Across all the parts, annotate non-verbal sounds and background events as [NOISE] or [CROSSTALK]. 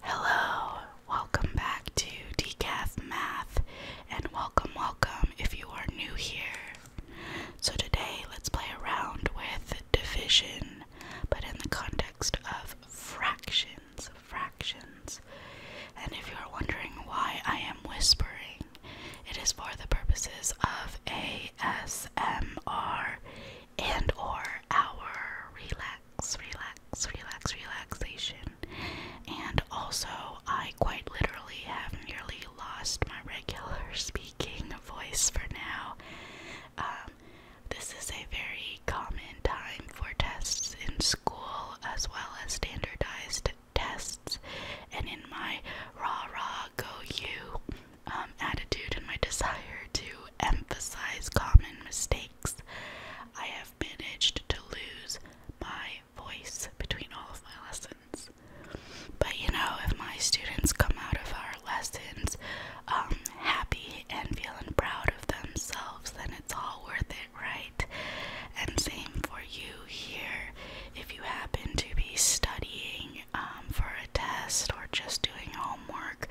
Hello, welcome back to Decaf Math, and welcome, welcome if you are new here. So, today let's play around with division, but in the context of fractions. Fractions. And if you are wondering why I am whispering, it is for the purposes of ASMR and or our relax, relax, relaxation. And also, I quite literally have nearly lost my regular [LAUGHS] speaking voice for now. Um, this is a very common time for tests in school as well as standardized tests. And in my rah rah go you um, attitude and my [LAUGHS] desire to emphasize common mistakes. I have managed to lose my voice between all of my lessons. But you know, if my students come out of our lessons um, happy and feeling proud of themselves, then it's all worth it, right? And same for you here. If you happen to be studying um, for a test or just doing homework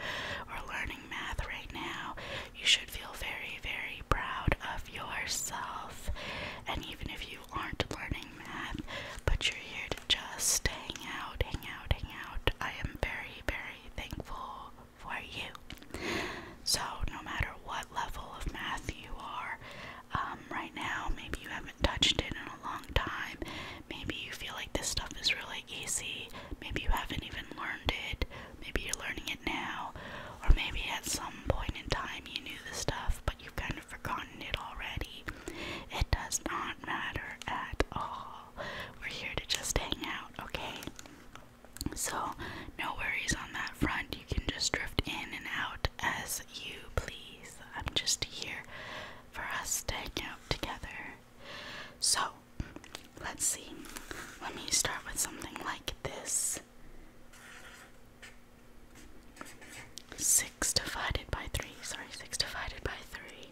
or learning math right now, you should feel very, very proud of yourself. And even if you aren't learning math, but you're here to just hang out, hang out, hang out, I am very, very thankful for you. So, no matter what level of math you are, um, right now, maybe you haven't touched it in a long time. Maybe you feel like this stuff is really easy. Maybe you haven't even learned it. Maybe you're learning it now, or maybe at some point in time you knew the stuff, but you've kind of forgotten it already. It does not matter at all. We're here to just hang out, okay? So, no worries on that front. You can just drift in and out as you please. I'm just here for us to hang out together. So, let's see. Let me start with something like this. 6 divided by 3. Sorry, 6 divided by 3.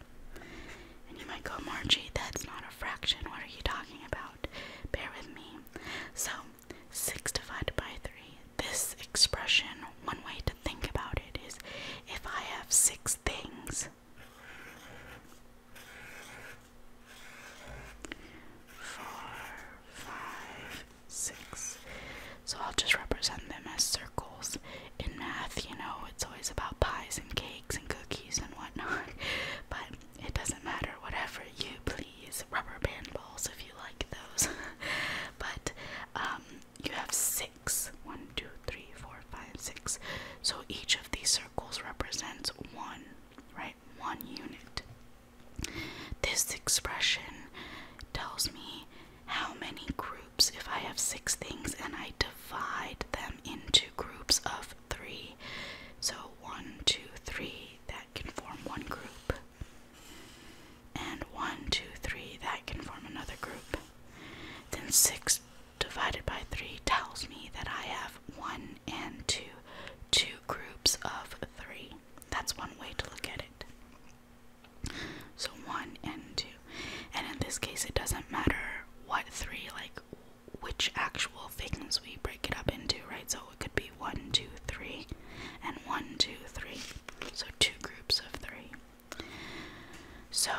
And you might go, Margie, that's not a fraction. What are you talking about? Bear with me. So, 6 divided by 3. This expression, one way to think about it is if I have 6 things, four, five, six. So I'll just represent them as circles. In math, you know, it's always about pies and cakes and cookies and whatnot. [LAUGHS] But it doesn't matter, whatever you please. Rubber band balls if you like those. [LAUGHS] but um, you have six. One, two, three, four, five, six. So each of these circles represents one right? One unit. This expression tells me how many groups, if I have six things and I divide them into groups of three. So one, two, three, that can form one group. And one, two, three, that can form another group. Then six divided by 3 tells me that I have 1 and 2, two groups of 3. That's one way to look at it. So 1 and 2. And in this case, it doesn't matter what 3, like which actual things we break it up into, right? So it could be one, two, three, and one, two, three. So two groups of 3. So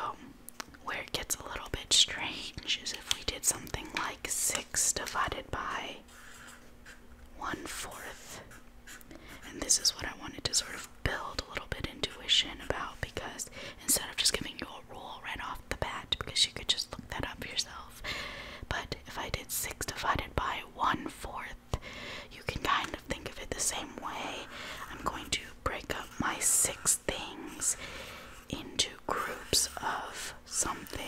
where it gets a little bit strange is if we did something like 6 divided by 1 fourth. And this is what I wanted to sort of build a little bit intuition about because instead of just giving you a rule right off the bat, because you could just look that up yourself, but if I did 6 divided by 1 fourth, you can kind of think of it the same way. I'm going to break up my 6 things into groups of something.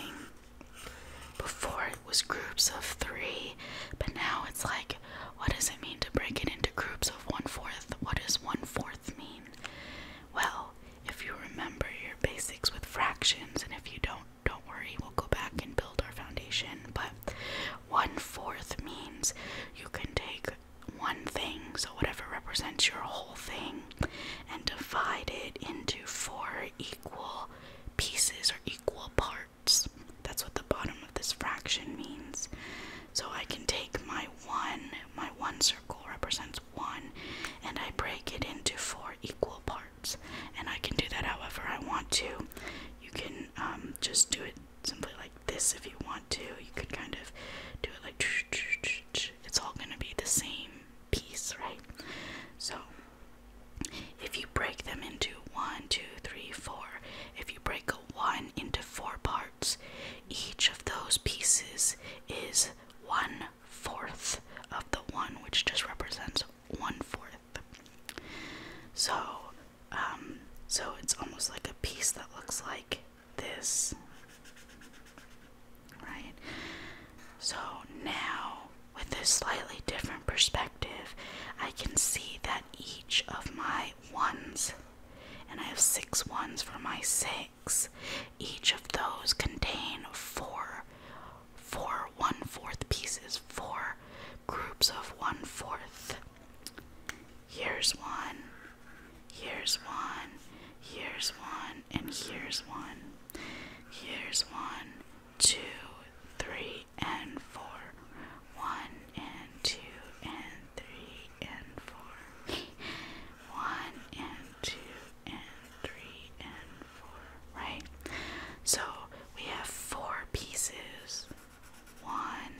Before it was groups of three, but now it's like, what does it mean to break it into groups of one fourth? What does one fourth mean? Well, if you remember your basics with fractions, and if you don't, don't worry, we'll go back and build our foundation. But one fourth means you can take one thing, so whatever represents your whole thing, and divide it into four equal pieces or equal parts. That's what the bottom of this fraction means. So I can take my one, my one circle represents one, and I break it into four equal parts. And I can do that however I want to. You can um, just do it simply like this if you want to. You can kind of do it like, it's all going to be the same piece, right? So if you break them into one, two, three, four, if you break a one into four parts, each of those pieces is one fourth of the one, which just represents one fourth. So, um, so it's almost like a piece that looks like this. Right? So now, with this slightly different perspective, I can see that each of my ones, and I have six ones for my six, each of those contain four, four one fourth pieces, four groups of one fourth. Here's one. Here's one, here's one, and here's one. Here's one, two, three, and four. One and two and three and four. [LAUGHS] one and two and three and four. Right? So we have four pieces. One,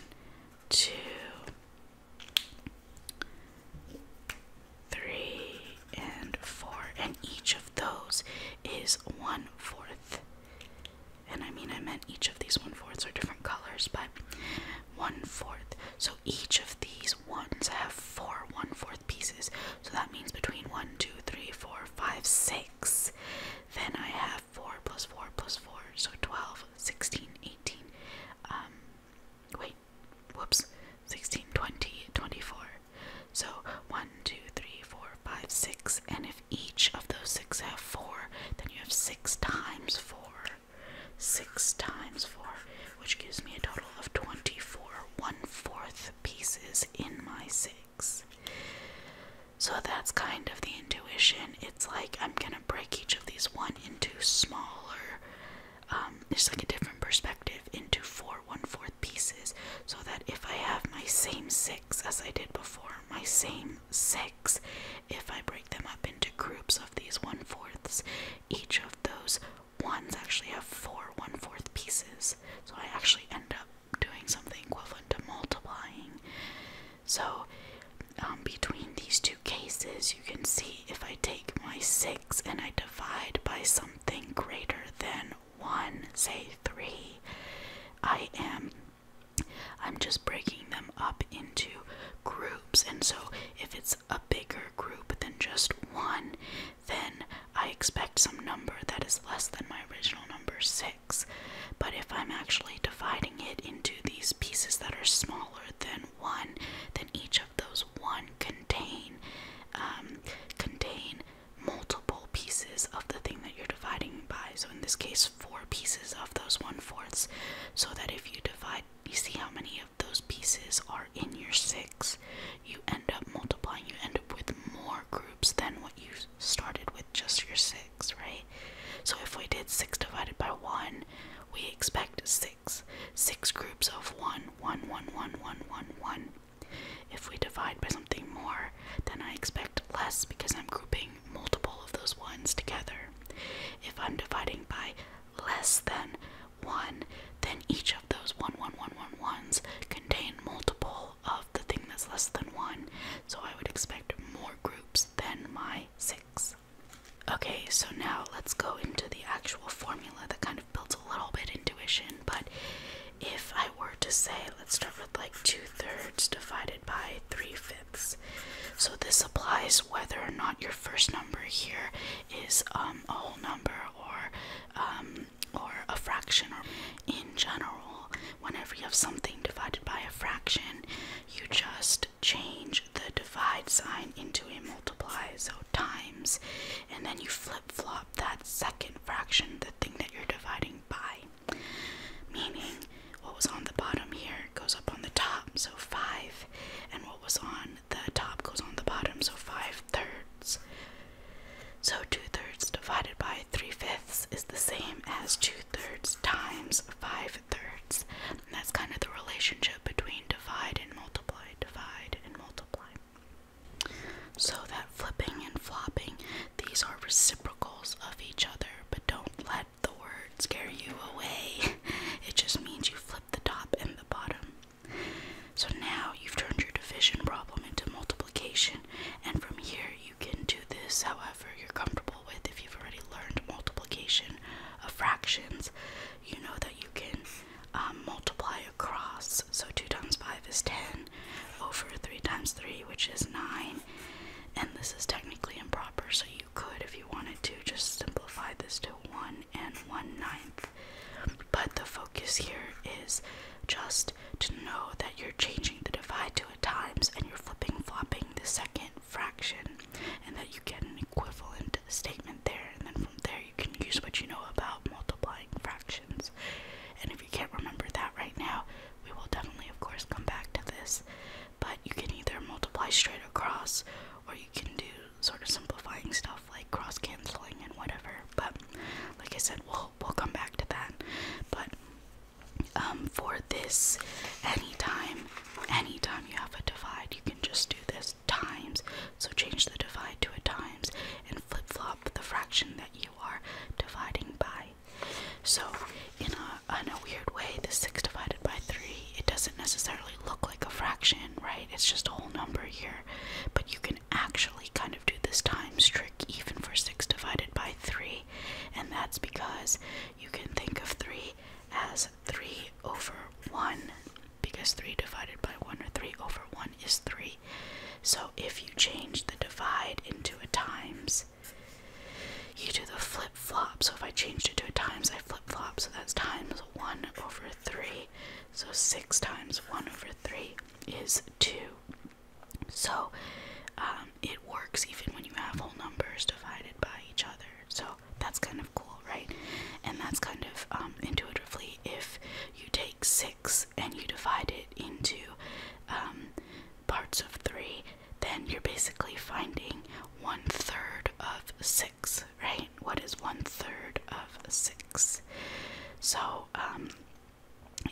two, three, and four, and each of those is one fourth. And I mean, I meant each of these one fourths are different colors, but one fourth. So each of these ones have four one fourth pieces. So that means between one, two, three, four, five, six. Then I have four plus four plus four, so twelve, sixteen, eighteen. Um, wait, whoops, 16, 20, 24. So 1, 2, 3, 4, 5, 6. And if each of those 6 have 4, then you have 6 times 4. 6 times 4, which gives me a total of 24 one fourth pieces in my 6. So that's kind of the intuition. It's like I'm gonna break each of these one into smaller um, it's like a different perspective into four one fourth pieces so that if I have my same six as I did before, my same six, if I break them up into groups of these one fourths, each of those ones actually have four one fourth pieces. So I actually end up doing something equivalent to multiplying. So um, between these two cases, you can see, if I take my 6 and I divide by something greater than 1, say 3, I am I'm just breaking them up into groups. And so if it's a bigger group than just 1, then I expect some number that is less than my original number 6. But if I'm actually dividing it into these pieces that are smaller than one, then each of those one contain um, contain multiple pieces of the thing that you're dividing by. So in this case, four pieces of those one fourths. So that if you divide, you see how many of those pieces are in your six. You end up multiplying. You end up with more groups than what you started with just your six, right? So if we did six divided by one, we expect six six. groups of one, one, one, one, one, one, one. If we divide by something more, then I expect less because I'm grouping multiple of those ones together. If I'm dividing by less than one, then each of those one, one, one, one, ones contain multiple of the thing that's less than one. So I would expect more groups than my six. Okay, so now let's go into the actual formula that kind of kind a little bit intuition, but if I were to say, let's start with like two thirds divided by three fifths. So this applies whether or not your first number here is um, a whole number or um, or a fraction. Or in general, whenever you have something divided by a fraction, you just change the divide sign into a multiply. So times and then you flip flop that second fraction, the thing that you're dividing by. Meaning, what was on the bottom here goes up on the top, so 5, and what was on the top goes on the bottom, so 5 thirds. So 2 thirds divided by 3 fifths is the same as 2 thirds times 5 thirds. that's kind of the relationship between divide and multiply, divide and multiply. So that flipping and flopping, these are reciprocals of each other, but don't let the word scare you away. [LAUGHS] It just means you flip the top and the bottom. So now you've turned your division problem into multiplication, and from here you can do this however you're comfortable with. If you've already learned multiplication of fractions, you know that you can um, multiply across, so 2 times 5 is 10, over 3 times 3, which is 9, and this is technically improper, so you could, if you wanted to, just simplify this to 1 and 1 ninth. But the focus here is just to know that you're changing the divide to a times and you're flipping flopping the second fraction, and that you get an equivalent statement there, and then from there you can use what you know about multiplying fractions. And if you can't remember that right now, we will definitely, of course, come back to this. But you can either multiply straight across, or you can do sort of simplifying stuff like cross canceling and whatever. But like I said, we'll we'll come back to that. But um, for this, anytime, anytime you have a divide, you can just do this times, so change the divide to a times and flip flop the fraction that you are dividing by. So, in a, in a weird way, this 6 divided by 3, it doesn't necessarily look like a fraction, right? It's just a whole number here. But you can actually kind of do this times trick even for 6 divided by 3, and that's because you can think of 3 as 3 over 1 because 3 divided by 1 or 3 over 1 is 3. So if you change the divide into a times, you do the flip flop. So if I changed it to a times, I flip flop. So that's times 1 over 3. So 6 times 1 over 3 is 2. So um, it works even when you have whole numbers divided by each other. So that's kind of cool, right? And that's kind of um, intuitively if you take 6 and you divide it into um, parts of 3, then you're basically finding one third of 6, right? What is one third of 6? So, um,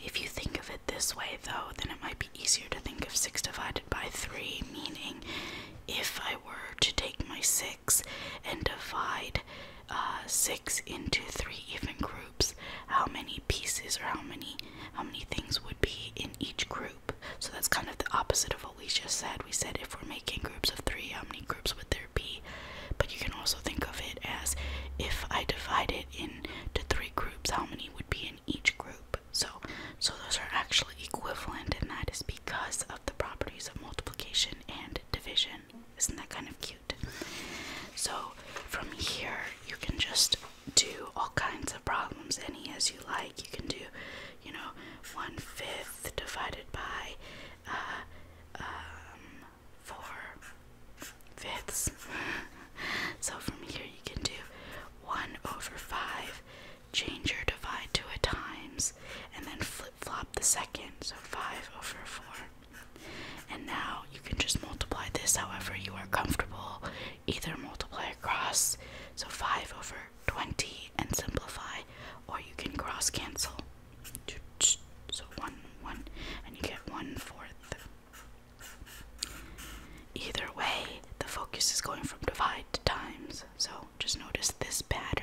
if you think of it this way, though, then it might be easier to think of 6 divided by 3, meaning if I were to take my 6 and divide uh, six into three even groups, how many pieces or how many how many things would be in each group? So that's kind of the opposite of what we just said. We said if we're making groups of three, how many groups would there be? But you can also think of it as if I divide it into three groups, how many would be in each group? So, so those are actually equivalent, and that is because of the properties of multiplication and division. Isn't that kind of cute? So from here, you can just do all kinds of problems, any as you like. You can do, you know, one fifth divided by uh, um, four fifths. [LAUGHS] so from here, you can do one over five. Change or divide to a times and then flip flop the second, so 5 over 4. And now you can just multiply this however you are comfortable, either multiply across, so 5 over 20 and simplify, or you can cross cancel. So 1, 1, and you get 1 fourth. Either way, the focus is going from divide to times, so just notice this pattern.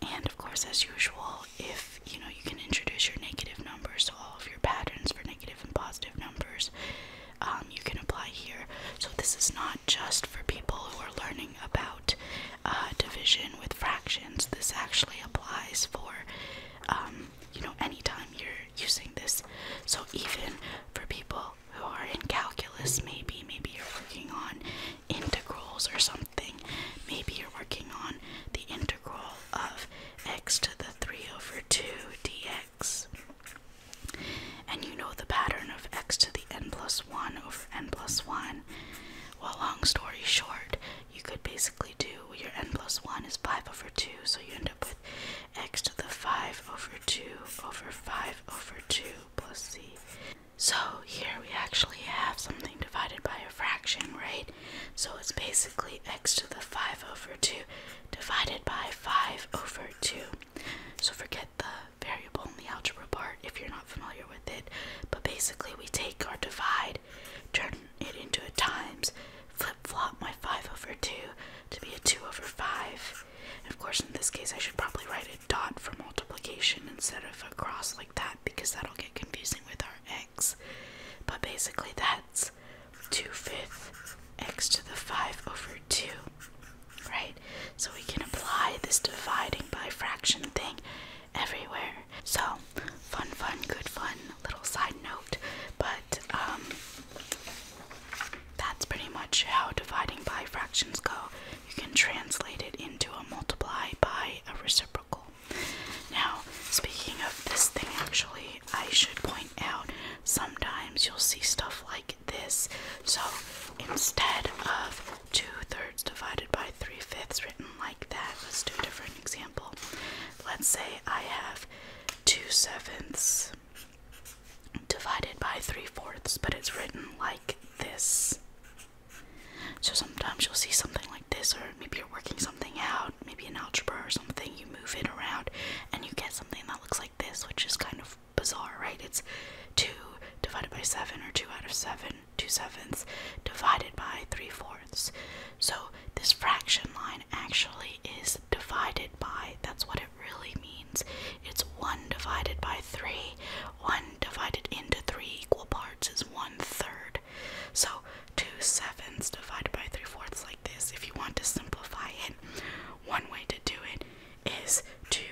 And of course, as usual, if you know you can introduce your negative numbers, so all of your patterns for negative and positive numbers, um, you can apply here. So this is not just for people who are learning about uh, division with fractions. This actually applies for um, you know anytime you're using this. So even for people who are in calculus, maybe maybe you're working on integrals or something. Maybe you're working on the integral of x to the 3 over 2 dx. And you know the pattern of x to the n plus 1 over n plus 1. Well, long story short, you could basically do your n plus 1 is 5 over 2, so you end up with x to the 5 over 2 over 5 over 2 plus c. So here we actually have something divided by a fraction, right? So it's basically x to the 5 over 2 divided by 5 over 2. So forget the variable and the algebra part if you're not familiar with it. But basically we take our divide, turn it into a times, flip-flop my 5 over 2 to be a 2 over 5. of course in this case I should probably write a dot for multiplication instead of a cross like that because that'll get confusing with our x. But basically that's 2 fifth x to the 5 over 2, right? So we can apply this dividing by fraction thing everywhere. So fun, fun, good fun, little side note. But um, that's pretty much how dividing by fractions go. You can translate it into a multiply by a reciprocal. Now, speaking of this thing, actually, I should point out sometimes you'll see stuff like this. So instead of two thirds divided by three fifths written like that, let's do a different example. Let's say I have two sevenths divided by three fourths, but it's written like this. So sometimes you'll see something like this, or maybe you're working something out, maybe an algebra or something, you move it around and you get something that looks like this, which is kind of bizarre, right? It's 2 divided by 7, or 2 out of 7, 2 sevenths, divided by 3 fourths. So this fraction line actually is divided by, that's what it really means. It's 1 divided by 3. 1 divided into 3 equal parts is 1 third. So two sevenths divided by three fourths like this. If you want to simplify it, one way to do it is to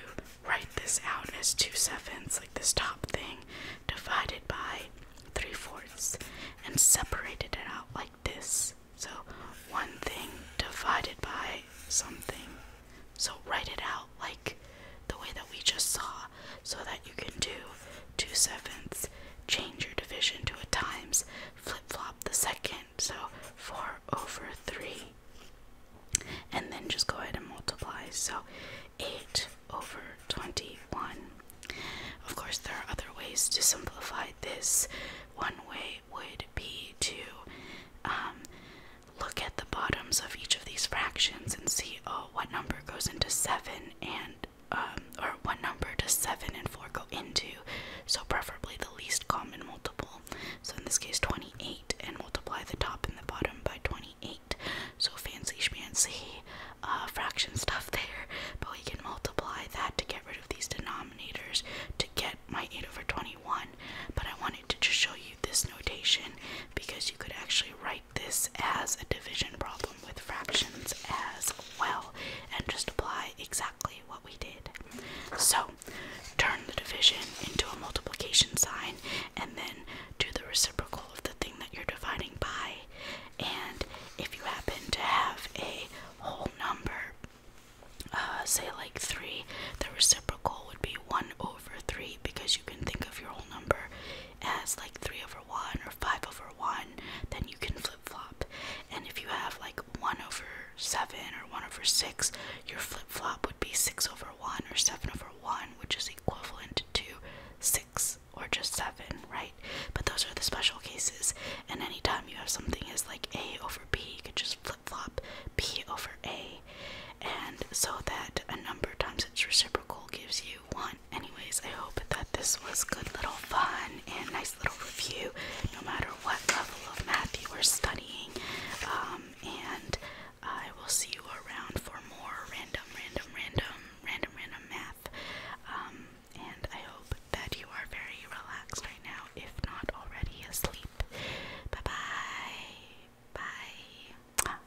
write this out as two sevenths, like this top thing, divided by three fourths, and separated it out like this. So one thing divided by something. So write it out like the way that we just saw, so that you can do two sevenths, change your division to a times, flip flop the second, so 4 over 3, and then just go ahead and multiply, so 8 over 21. Of course, there are other ways to simplify this. One way would be to um, look at the bottoms of each of these fractions and see, oh, so what number goes into seven and um, or what number does seven and four go into? So preferably the least common multiple. So in this case, 28, and multiply the top and the bottom by 28. So fancy schmancy uh, fraction stuff there, but we can multiply that to get rid of these denominators to get my 8 over 21. But I wanted to just show you this notation because you could actually write this as a division problem with fractions as well and just apply exactly what we did. So turn the division into a multiplication sign and then do the reciprocal of the thing that you're dividing by. And if you happen to have a whole number, uh, say like 3, the reciprocal would be 1 over 3 because you can think of your whole number as like 3 over 1 or 5 over 1, then you can flip flop. And if you have like 1 over 7 or 1 over 6, your flip flop would be 6 over 1 or 7 over 1, which is equivalent to 6 or just 7, right? But those are the special cases. And anytime you have something as like A over B, you could just flip flop B over A. And so that a number times its reciprocal gives you 1 anyways, I hope that this was good little fun and nice little review, no matter what level of math you are studying. Um, and I will see you around for more random, random, random, random, random math. Um, and I hope that you are very relaxed right now, if not already asleep. Bye bye. Bye.